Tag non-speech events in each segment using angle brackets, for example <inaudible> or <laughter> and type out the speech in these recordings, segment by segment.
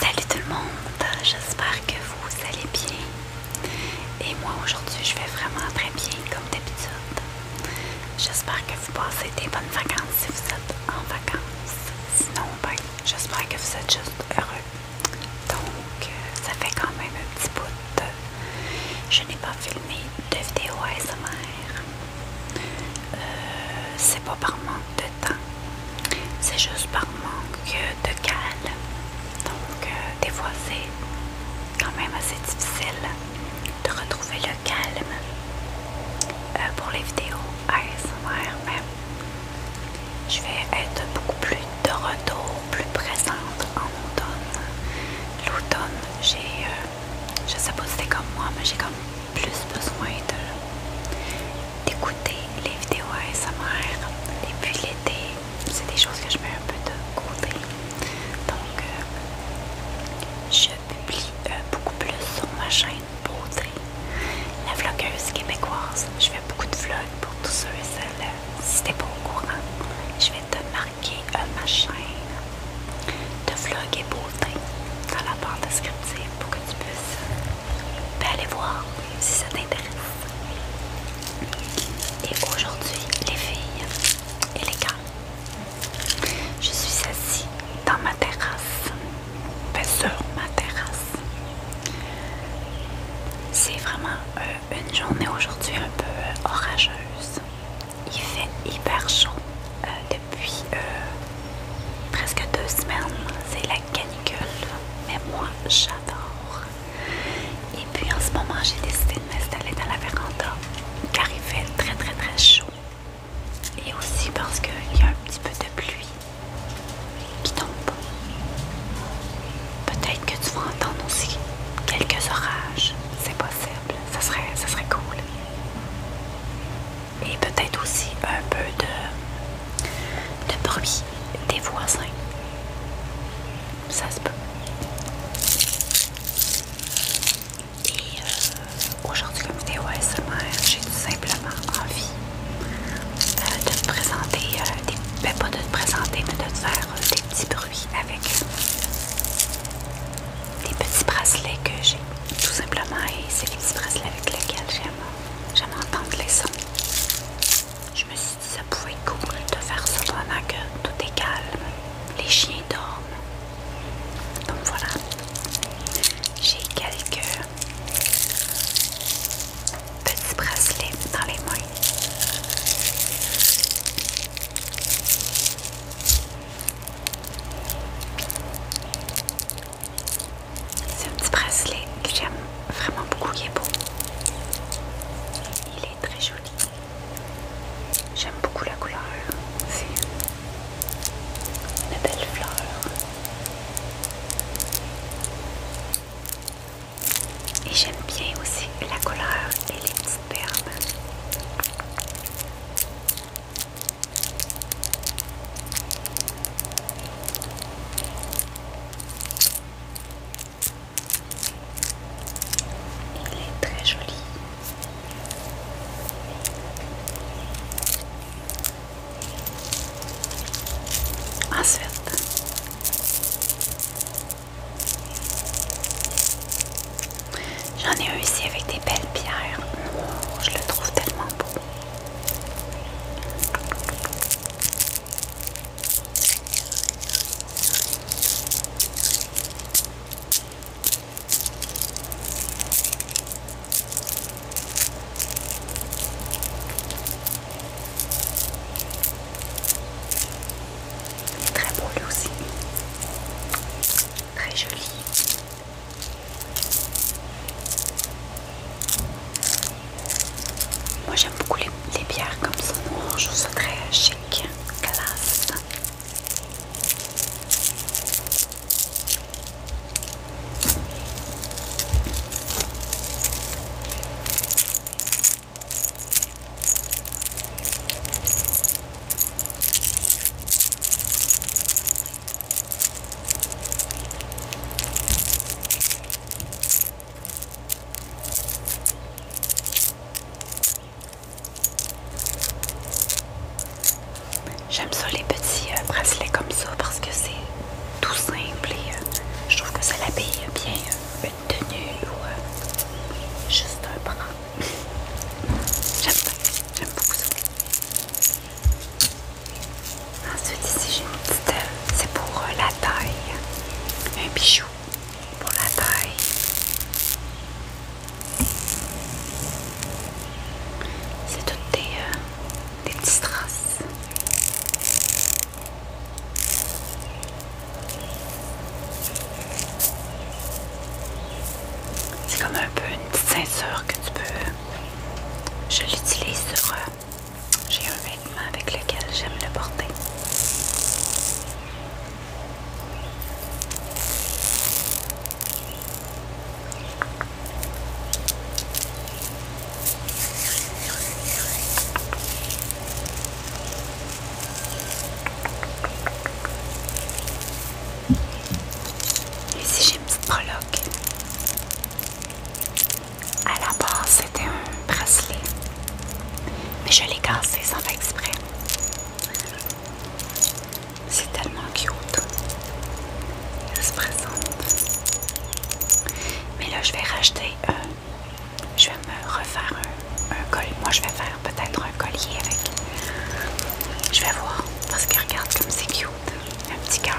Salut tout le monde, j'espère que vous allez bien. Et moi aujourd'hui je vais vraiment très bien comme d'habitude. J'espère que vous passez des bonnes vacances si vous êtes en vacances. Sinon ben j'espère que vous êtes juste heureux. Donc euh, ça fait quand même un petit bout Je n'ai pas filmé de vidéo ASMR. Euh, c'est pas par manque de temps, c'est juste par manque de calme. Donc, euh, des fois, c'est quand même assez difficile de retrouver le calme euh, pour les vidéos ASMR, mais je vais être beaucoup plus de retour, plus présente en automne. L'automne, j'ai, je sais pas si c'était comme moi, mais j'ai comme plus besoin d'écouter les vidéos ASMR et puis l'été c'est des choses que je mets un peu de côté donc euh, je publie euh, beaucoup plus sur ma chaîne beauté la vlogueuse québécoise je fais beaucoup de vlogs pour tous ceux et celles euh, si t'es pas au courant je vais te marquer ma chaîne de vlog et beauté dans la barre descriptive pour que tu puisses ben, aller voir si ça t'intéresse. Et aujourd'hui, les filles et les gars, je suis assise dans ma terrasse. sur ma terrasse. C'est vraiment euh, une journée aujourd'hui un peu orageuse. Il fait hyper chaud euh, depuis euh, presque deux semaines, c'est la canicule, mais moi j'adore. Et puis en ce moment, j'ai décidé de m'installer dans la véranda car il fait très très très chaud et aussi parce qu'il y a un petit peu de pluie qui tombe. Peut-être que tu vas entendre aussi quelques orages, c'est possible, ça serait, ça serait cool et peut-être aussi un peu de, bruit des voisins. Ça se peut. Et euh, aujourd'hui, comme vidéo ASMR, j'ai tout simplement envie euh, de te présenter, euh, ben, pas de te présenter, mais de te faire des petits bruits avec des petits bracelets que j'ai tout simplement et c'est les petits bracelets avec lesquels j'aime entendre les sons. Je me suis dit ça pouvait être cool de faire ça pendant que tout est calme, les chiens dorment. Donc voilà, j'ai quelques petits bracelets dans les mains. C'est un petit bracelet que j'aime vraiment beaucoup, il est beau. Il est très joli. J'aime beaucoup la couleur. C'est une belle fleur. Et j'aime bien aussi la couleur et les petites perles. Il est très joli. Ah, c'est Ensuite, J'en ai réussi ici avec des belles pierres. je le trouve tellement beau. très beau aussi. Très joli. Moi j'aime beaucoup les, pierres bières comme ça, je vous ça très chic, classe. J'aime ça les petits euh, bracelets comme ça parce que c'est tout simple et euh, je trouve que ça l'habille bien euh, une tenue ou juste un bras. J'aime pas, j'aime beaucoup ça. Ensuite, ici, j'ai C'est pour euh, la taille. Un bijou pour la taille. C'est toutes des, euh, des petits strass. C'est comme un peu une petite ceinture que tu peux. Je l'utilise sur. Euh, j'ai un vêtement avec lequel j'aime le porter. Ici j'ai une petite prologue. À la base c'était un bracelet. Mais je l'ai cassé sans faire exprès. C'est tellement cute. Elle se présente. Mais là je vais racheter un. Je vais me refaire un un col. Moi, je vais faire peut-être un collier avec. Je vais voir. Parce qu'il regarde comme c'est cute. Un petit cœur.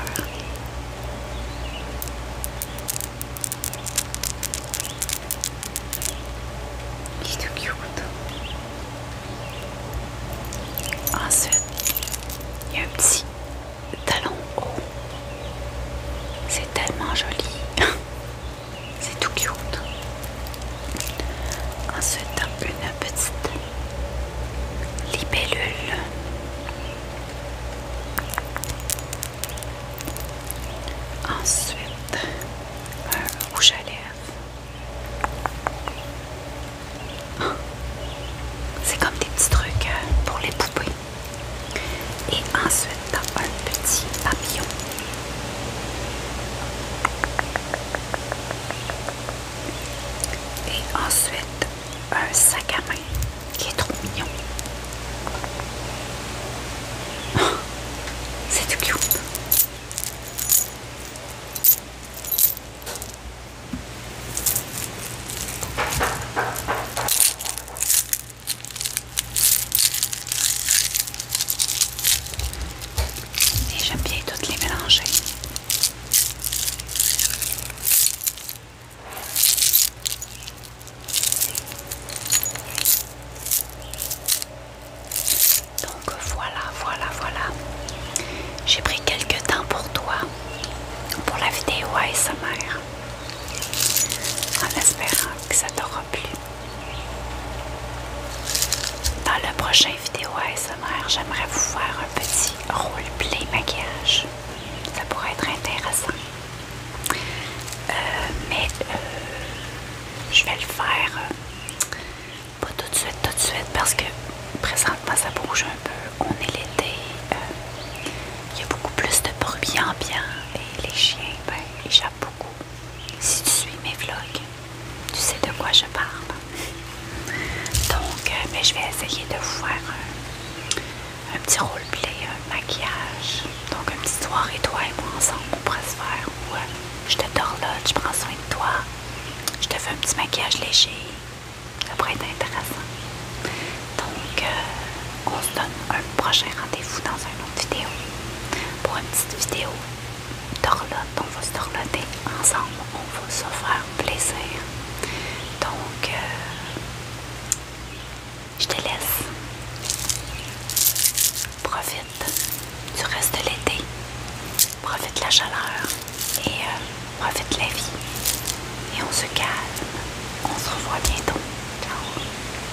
Il est tout cute. Ensuite, il y a un petit talon haut. C'est tellement joli. <laughs> C'est tout cute. Ensuite, une petite libellule. Ensuite, un rouge à lèvres. C'est comme des petits trucs hein, pour les poupées. Et ensuite, un petit papillon. Et ensuite, un sac à main qui est trop mignon. <laughs> C'est et j'aime bien toutes les mélanger. Donc voilà, voilà, voilà. J'ai pris quelques temps pour toi, pour la vidéo mère, en espérant que ça t'aura plu. Dans la prochaine vidéo ASMR, j'aimerais vous faire un petit roleplay maquillage. Ça pourrait être intéressant. Euh, mais euh, je vais le faire euh, pas tout de suite, tout de suite, parce que présentement ça bouge un peu. On est l'été, il y a beaucoup plus de bruit ambiant et les chiens, ben, échappent beaucoup si tu suis mes vlogs, tu sais de quoi je parle. Donc, mais euh, ben, je vais essayer de vous faire euh, un, petit roleplay, un maquillage. Donc, une soir et toi et moi ensemble, on pourrait se faire où euh, je te là, je prends soin de toi, je te fais un petit maquillage léger. Ça pourrait être intéressant. Donc, on se donne un prochain rendez-vous dans un autre vidéo pour une petite vidéo d'orlotte. On va se dorloter ensemble, on va se faire plaisir. Donc, euh, je te laisse. Profite du reste de l'été. Profite la chaleur et euh, profite la vie. Et on se calme. On se revoit bientôt. Ciao.